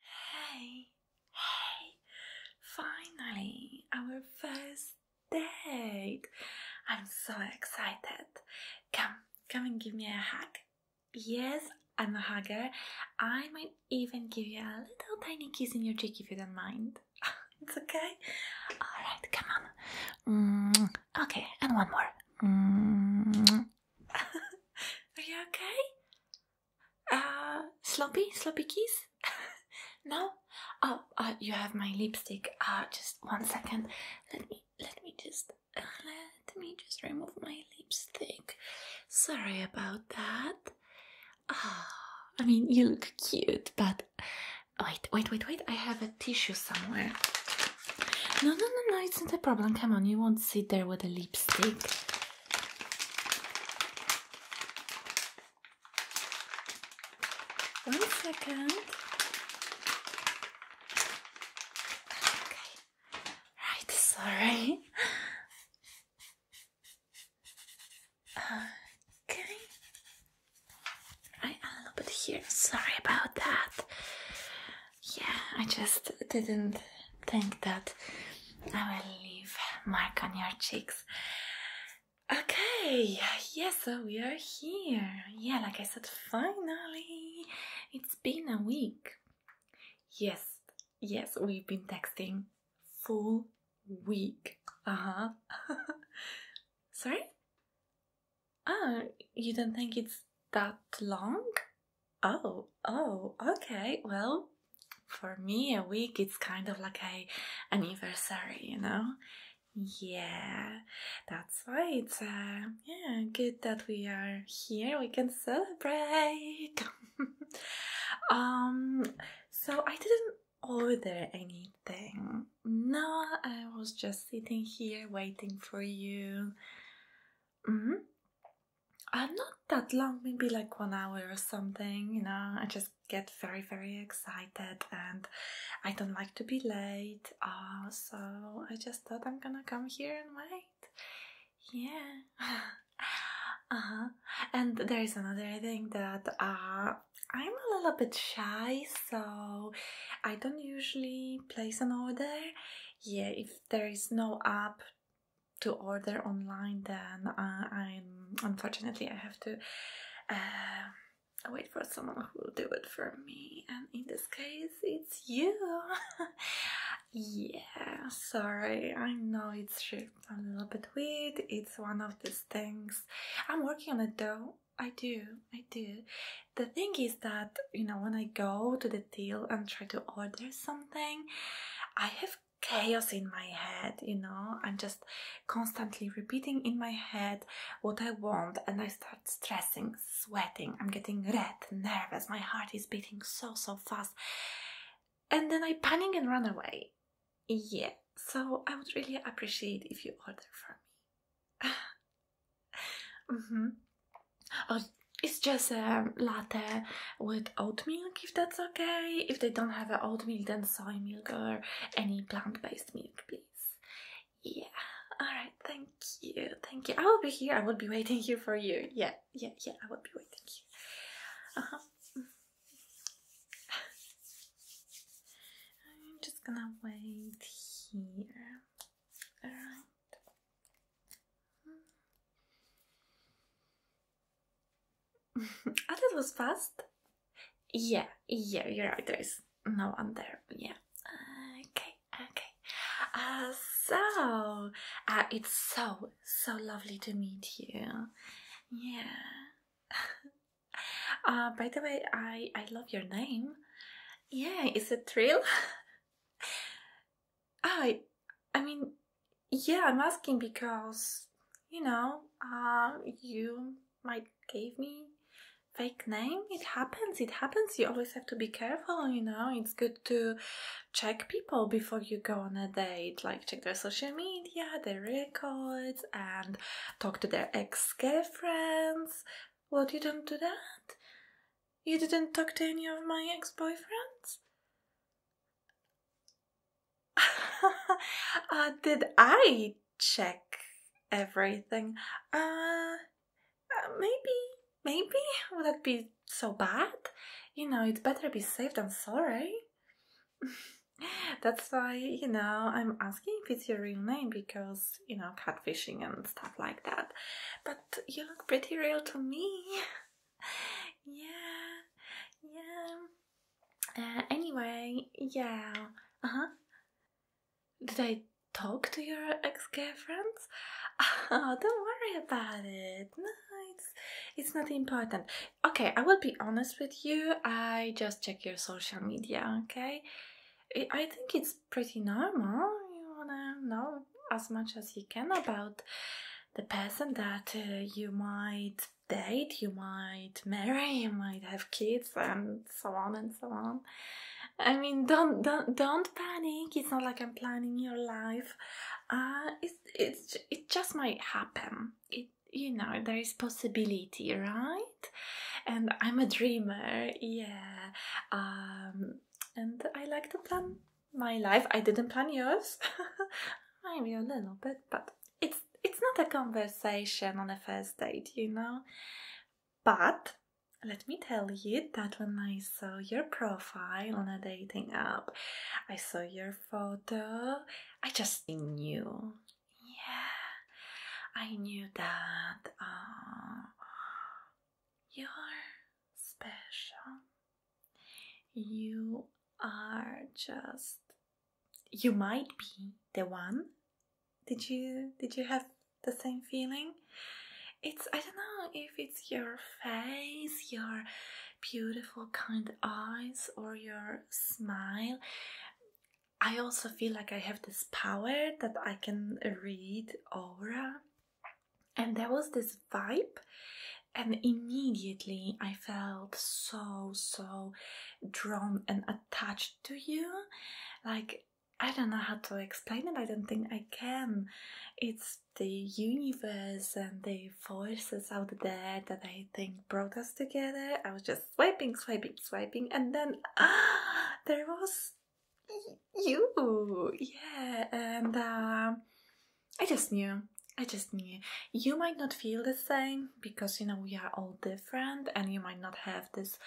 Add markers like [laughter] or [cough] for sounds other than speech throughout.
Hey, hey, finally, our first date. I'm so excited. Come, come and give me a hug. Yes, I'm a hugger. I might even give you a little tiny kiss in your cheek if you don't mind. [laughs] it's okay. All right, come on. Mm, okay, and one more. Mm, [laughs] Are you okay? Uh, sloppy? Sloppy kiss? [laughs] no? Oh, uh, you have my lipstick. Uh, just one second. Let me, let me just, uh, let me just remove my lipstick. Sorry about that. Ah, I mean, you look cute, but wait, wait, wait, wait. I have a tissue somewhere. No, no, no, no, it's not a problem. Come on, you won't sit there with a lip. One second. Okay. Right, sorry. Okay. Right, a little bit here. Sorry about that yeah, I just didn't think that I will leave mark on your cheeks. Okay, yes, we are here. Yeah, like I said, finally, it's been a week. Yes, yes, we've been texting full week. Uh huh. [laughs] Sorry? Ah, you don't think it's that long? Oh, oh, okay. Well, for me, a week it's kind of like a anniversary, you know. Yeah, that's right. Uh, yeah good that we are here. We can celebrate. [laughs] um, so I didn't order anything. No, I was just sitting here waiting for you. -hmm uh, not that long, maybe like one hour or something. You know, I just get very, very excited and I don't like to be late. Uh, so I just thought I'm gonna come here and wait. Yeah. [laughs] uh huh. And there is another thing that uh, I'm a little bit shy, so I don't usually place an order. Yeah, if there is no app to order online, then uh, I'm unfortunately I have to uh, wait for someone who will do it for me, and in this case, it's you. [laughs] yeah, sorry. I know it's a little bit weird. It's one of these things. I'm working on it though. I do, I do. The thing is that, you know, when I go to the deal and try to order something, I have chaos in my head, you know. I'm just constantly repeating in my head what I want, and I start stressing, sweating. I'm getting red, nervous, my heart is beating so, so fast. And then I panic and run away. Yeah, so I would really appreciate if you order for me. [laughs] mm -hmm. Oh, it's just a um, latte with oat milk, if that's okay. If they don't have oat milk, then soy milk or any plant-based milk, please. Yeah. All right. Thank you. Thank you. I will be here. I will be waiting here for you. Yeah. Yeah. Yeah. I will be waiting here. Uh -huh. Mm-hmm. [laughs] I'm just gonna wait here. All right ah, that was fast. Yeah, yeah, you're right. There is no one there. Yeah. okay, okay. Uh, so, uh, it's so, so lovely to meet you. Yeah. [laughs] uh, by the way, I, I love your name. Yeah, it's a thrill. I, I mean, yeah, I'm asking because you know, um, you might gave me fake name. It happens. It happens. You always have to be careful. You know, it's good to check people before you go on a date. Like check their social media, their records, and talk to their ex-girlfriends. What you don't do that? You didn't talk to any of my ex boyfriends? [laughs] Uh, did I check everything? Uh, uh, maybe, maybe? Would that be so bad? You know, it would better be safe than sorry. [laughs] That's why, you know, I'm asking if it's your real name because, you know, catfishing and stuff like that. But you look pretty real to me. [laughs] yeah, yeah. Uh, anyway, yeah. Uh huh. Did I talk to your ex-girlfriends? [laughs] Oh, don't worry about it. No, it's it's not important. Okay, I will be honest with you. I just check your social media. Okay, I think it's pretty normal. You wanna know as much as you can about the person that uh, you might date, you might marry, you might have kids, and so on and so on. I mean, don't don't don't panic. It's not like I'm planning your life. Uh, it's it's it just might happen. It you know there is possibility, right? And I'm a dreamer. Yeah. Um, and I like to plan my life. I didn't plan yours. Maybe [laughs] a little bit, but it's it's not a conversation on a first date, you know. But let me tell you that when I saw your profile on a dating app, I saw your photo, I just knew. Yeah, I knew that. Uh, you're special. You are just you might be the one. Did you did you have the same feeling? It's I don't know if it's your face, your beautiful kind eyes or your smile. I also feel like I have this power that I can read aura and there was this vibe and immediately i felt so so drawn and attached to you like i don't know how to explain it i don't think i can it's the universe and the forces out there that i think brought us together i was just swiping swiping swiping and then [gasps] there was you, yeah, and uh, I just knew. I just knew. You might not feel the same because you know we are all different, and you might not have this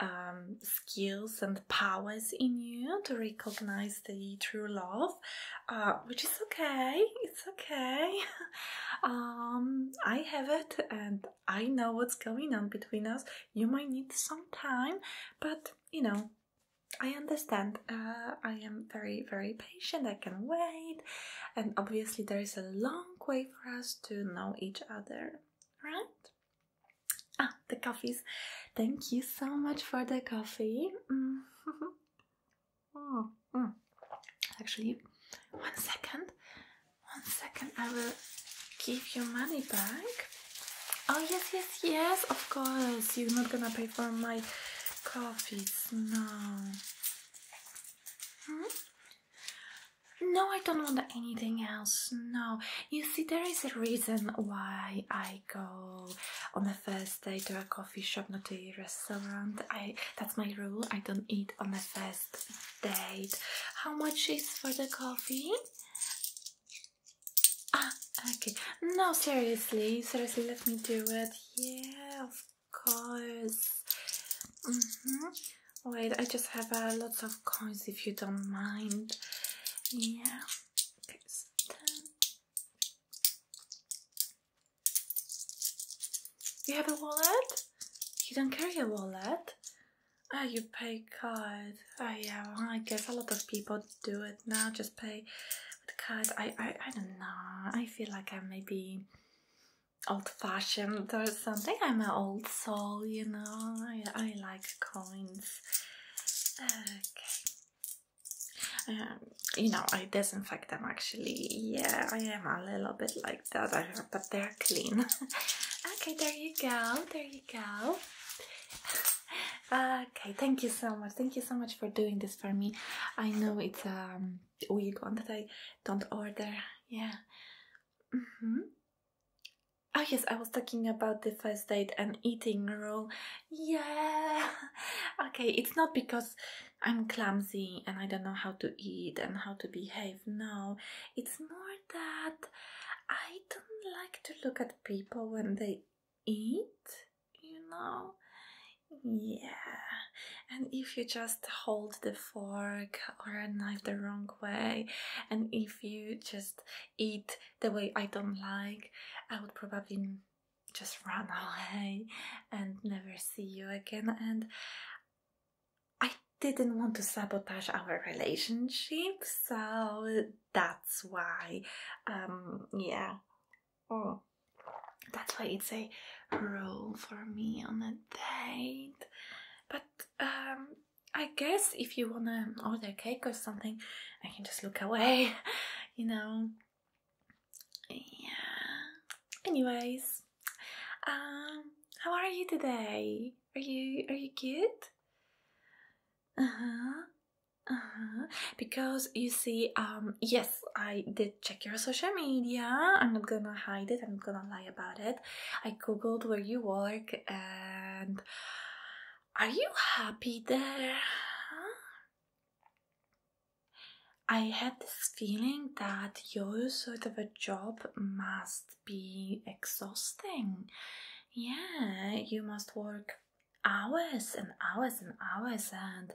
um, skills and powers in you to recognize the true love, uh, which is okay. It's okay. [laughs] um, I have it, and I know what's going on between us. You might need some time, but you know I understand. Uh, I am very, very patient. I can wait. And obviously, there is a long way for us to know each other, right? Ah, the coffees. Thank you so much for the coffee. Mm-hmm. [laughs] Oh, mm. Actually, one second. One second. I will give you money back. Oh yes, yes, yes, of course. You're not gonna pay for my coffees, no. Hmm? No, I don't want anything else. No, you see, there is a reason why I go on the first day to a coffee shop, not a restaurant. I that's my rule. I don't eat on the first date. How much is for the coffee? Ah, okay. No, seriously, seriously, let me do it. Yeah, of course. Mm-hmm. Wait, I just have a uh, lots of coins if you don't mind. Yeah. Okay, so ten. You have a wallet? You don't carry a wallet? Oh, you pay card. Oh, yeah. I guess a lot of people do it now. Just pay with card. I, I, I don't know. I feel like I'm maybe old-fashioned or something. I'm an old soul, you know. I, I like coins. Okay. Um, you know, I disinfect them actually. Yeah, I am a little bit like that, but they're clean. [laughs] okay, there you go. There you go. [laughs] okay thank you so much thank you so much for doing this for me i know it's um weird one that i don't order yeah mm-hmm. oh yes i was talking about the first date and eating rule yeah [laughs] okay it's not because i'm clumsy and i don't know how to eat and how to behave no it's more that i don't like to look at people when they eat, you know? Yeah. And if you just hold the fork or a knife the wrong way, and if you just eat the way I don't like, I would probably just run [laughs] away and never see you again. And I didn't want to sabotage our relationship, so that's why, um, yeah, oh, that's why it's a rule for me on a date. But um, I guess if you wanna order cake or something, I can just look away, [laughs] you know. Yeah. Anyways, um, how are you today? Are you are you good? uh-huh uh-huh because you see um yes i did check your social media i'm not gonna hide it i'm not gonna lie about it i googled where you work and are you happy there i had this feeling that your sort of a job must be exhausting. Yeah, you must work hours and hours and hours and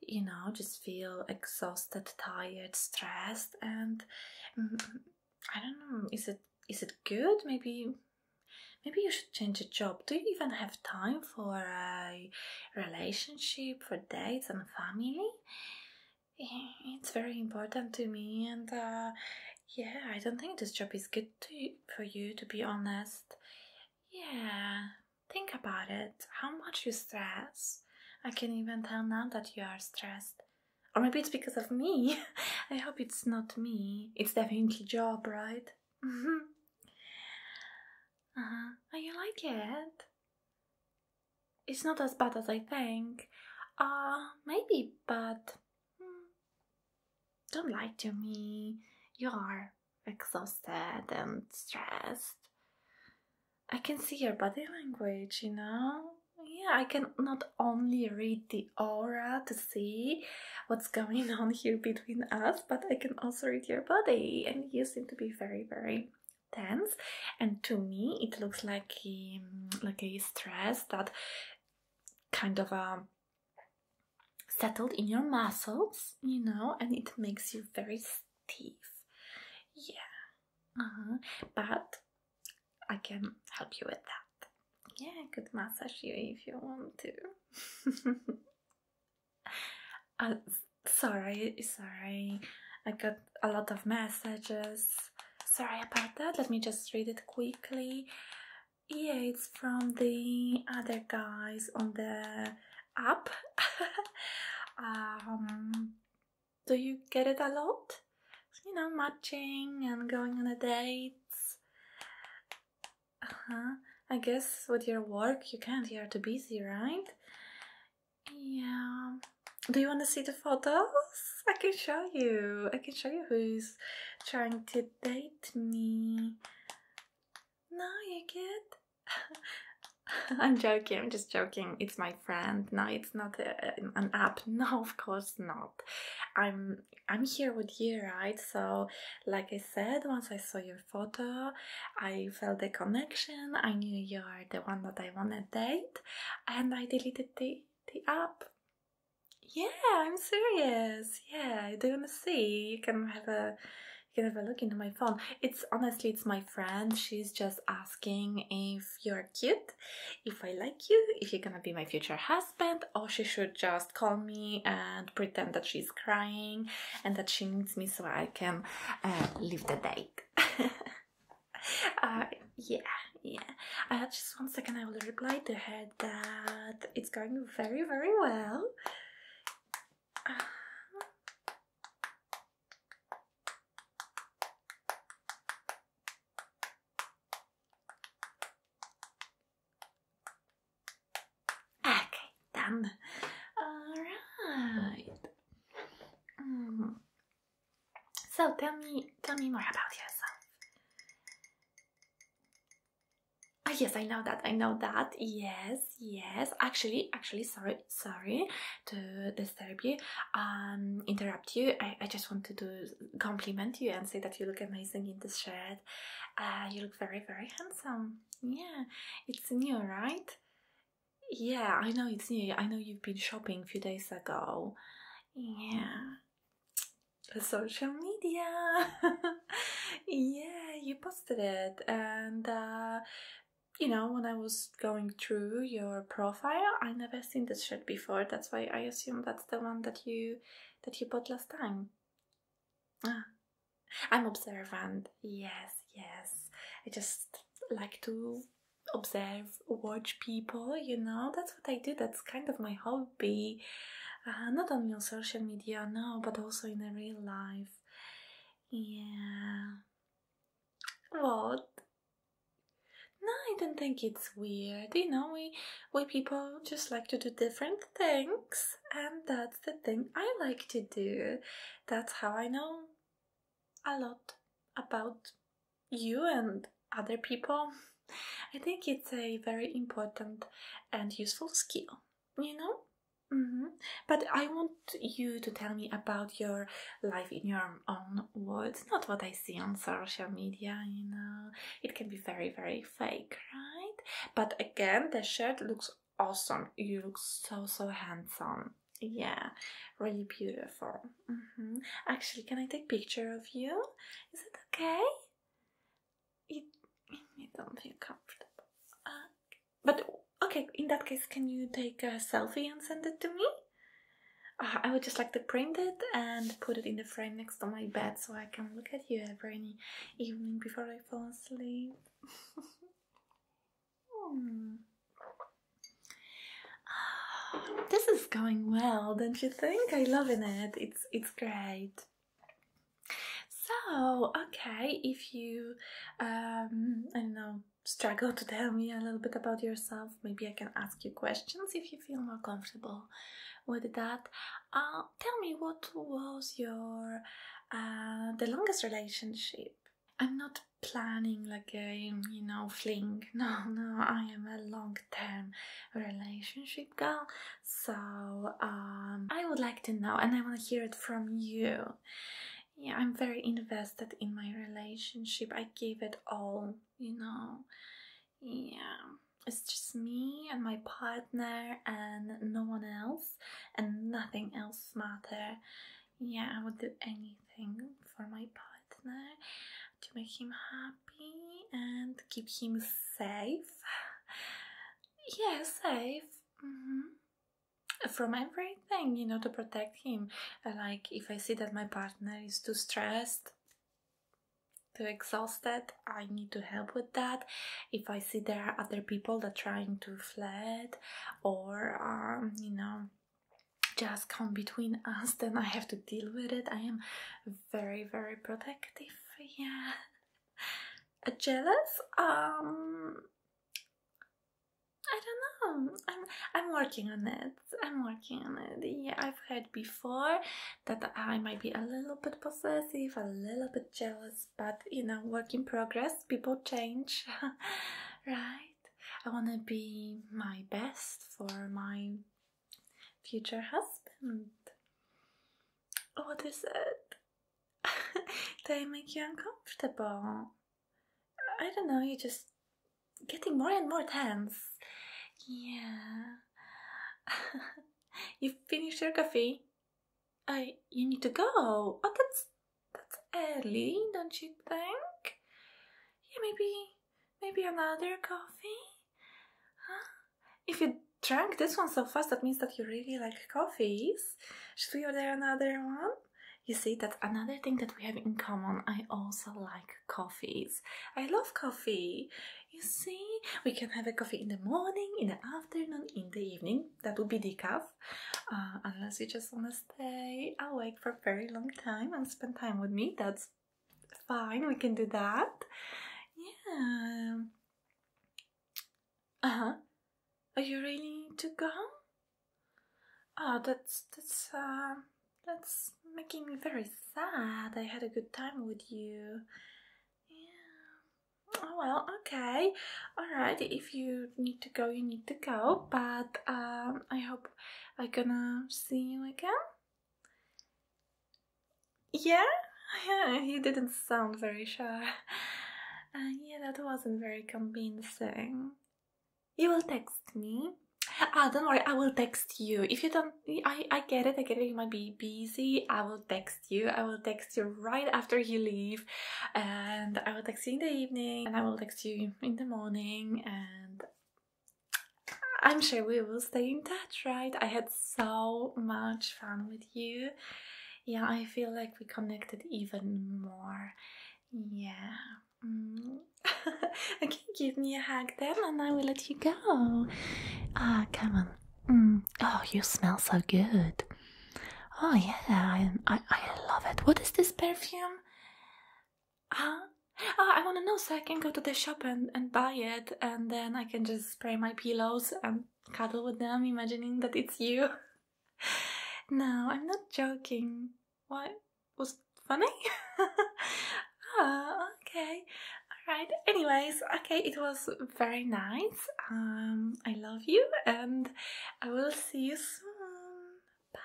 you know just feel exhausted tired stressed and mm, i don't know is it is it good maybe maybe you should change a job do you even have time for a relationship for dates and family it's very important to me and uh, yeah, I don't think this job is good to, for you, to be honest. Yeah, think about it. How much you stress. I can even tell now that you are stressed. Or maybe it's because of me. [laughs] I hope it's not me. It's definitely job, right? Mm-hmm. uh huh. Oh, you like it? It's not as bad as I think. Uh, maybe, but [gasps] Don't lie to me. You are exhausted and stressed. I can see your body language, you know? Yeah, I can not only read the aura to see what's going on here between us, but I can also read your body. And you seem to be very, very tense. And to me, it looks like he, um, like he's stressed that kind of a um, settled in your muscles, you know, and it makes you very stiff. Yeah. Uh-huh. But I can help you with that. Yeah, I could massage you if you want to. [laughs] uh, sorry, sorry. I got a lot of messages. Sorry about that. Let me just read it quickly. Yeah, it's from the other guys on the app. [laughs] Um, do you get it a lot? You know, matching and going on a dates. Uh-huh. I guess with your work you can't, you're too busy, right? Yeah. Do you want to see the photos? I can show you. I can show you who's trying to date me. No, you kid. [laughs] I'm joking. I'm just joking. It's my friend. No, it's not an app. [laughs] No, of course not. I'm I'm here with you, right? So, like I said, once I saw your photo, I felt the connection. I knew you're the one that I want to date, and I deleted the the app. Yeah, I'm serious. Yeah, I do not wanna see? You can have a you can have a look into my phone. It's honestly it's my friend. She's just asking if you're cute, if I like you, if you're gonna be my future husband, or she should just call me and pretend that she's crying and that she needs me so I can uh, leave the date. [laughs] Uh, yeah, yeah. Uh, just one second, I will reply to her that it's going very, very well. Uh-huh. Okay, done. All right. Mm. So tell me, tell me more about yourself. Ah, yes, I know that. I know that. Yes, yes. Actually, actually, sorry, sorry to disturb you, um, interrupt you. I, just wanted to compliment you and say that you look amazing in this shirt. Uh, you look very, very handsome. Yeah, it's new, right? Yeah, I know it's new. I know you've been shopping a few days ago. Yeah social media. [laughs] yeah, you posted it. And, uh, you know, when I was going through your profile, I never seen this shirt before. That's why I assume that's the one that you that you bought last time. Ah, I'm observant. Yes, yes. I just like to observe, watch people. You know, that's I do. That's kind of my hobby, uh, not only on social media now, but also in real life. Yeah. What? No, I don't think it's weird. You know, we we people just like to do different things, and that's the thing I like to do. That's how I know a lot about you and other people. I think it's a very important and useful skill, you know? Mm-hmm. But I want you to tell me about your life in your own words, not what I see on social media, you know. It can be very, very fake, right? But again, the shirt looks awesome. You look so, so handsome. Yeah, really beautiful. Mm-hmm. Actually, can I take a picture of you? Is it okay? It, you don't feel comfortable. but okay, in that case, can you take a selfie and send it to me? Uh, I would just like to print it and put it in the frame next to my bed so I can look at you every evening before I fall asleep. [laughs] Hmm. Oh, [gasps] this is going well, don't you think? I am loving it. It's it's great. So okay, if you um, I don't know struggle to tell me a little bit about yourself, maybe I can ask you questions if you feel more comfortable with that. Uh, tell me what was your uh, the longest relationship? I'm not planning like a you know fling. [laughs] No, no, I am a long long relationship goal so um, i would like to know and i want to hear it from you yeah i'm very invested in my relationship i give it all you know yeah it's just me and my partner and no one else and nothing else matter yeah i would do anything for my partner to make him happy and keep him safe. Yeah, safe. Mm-hmm. From everything, you know, to protect him. Uh, like, if I see that my partner is too stressed, too exhausted, I need to help with that. If I see there are other people that trying to flirt or, um, you know, just come between [laughs] us, then I have to deal with it. I am very, very protective. Yeah. Uh, jealous? Um. I don't know. I'm I'm working on it. I'm working on it. Yeah, I've heard before that I might be a little bit possessive, a little bit jealous, but you know, work in progress. People change, [laughs] right? I want to be my best for my future husband. What is it? they make you uncomfortable. I don't know, you're just getting more and more tense. Yeah. [laughs] you finished your coffee? I you need to go. Oh that's that's early, don't you think? Yeah, maybe Maybe another coffee? Huh? If you drank this one so fast, that means that you really like coffees. Should we order another one? You see, that's another thing that we have in common. I also like coffees. I love coffee. You see, we can have a coffee in the morning, in the afternoon, in the evening. That would be decaf. Uh, unless you just want to stay awake for a very long time and spend time with me, that's fine, we can do that. Yeah. Uh-huh. Are you ready to go? Oh, that's that's uh, that's making me very sad. I had a good time with you. Yeah. Oh well, okay, all right. If you need to go, you need to go. But um, I hope i gonna see you again. [laughs] Yeah? he didn't sound very sure. Uh, yeah, that wasn't very convincing. You will text me. Ah, don't worry, I will text you. If you don't, I, I get it, I get it, you might be busy. I will text you. I will text you right after you leave. And I will text you in the evening, and I will text you in the morning, and I'm sure we will stay in touch, right? I had so much fun with you. Yeah, I feel like we connected even more. Yeah. Mm. [laughs] okay, give me a hug then, and I will let you go. Ah, come on. Mm. Oh, you smell so good. Oh yeah, I I love it. What is this perfume? Ah, ah I want to know so I can go to the shop and, and buy it and then I can just spray my pillows and cuddle with them, imagining that it's you. [laughs] no, I'm not joking. What? Was funny? [laughs] ah, okay. Alright, anyways, okay, it was very nice. Um, I love you and I will see you soon. Bye.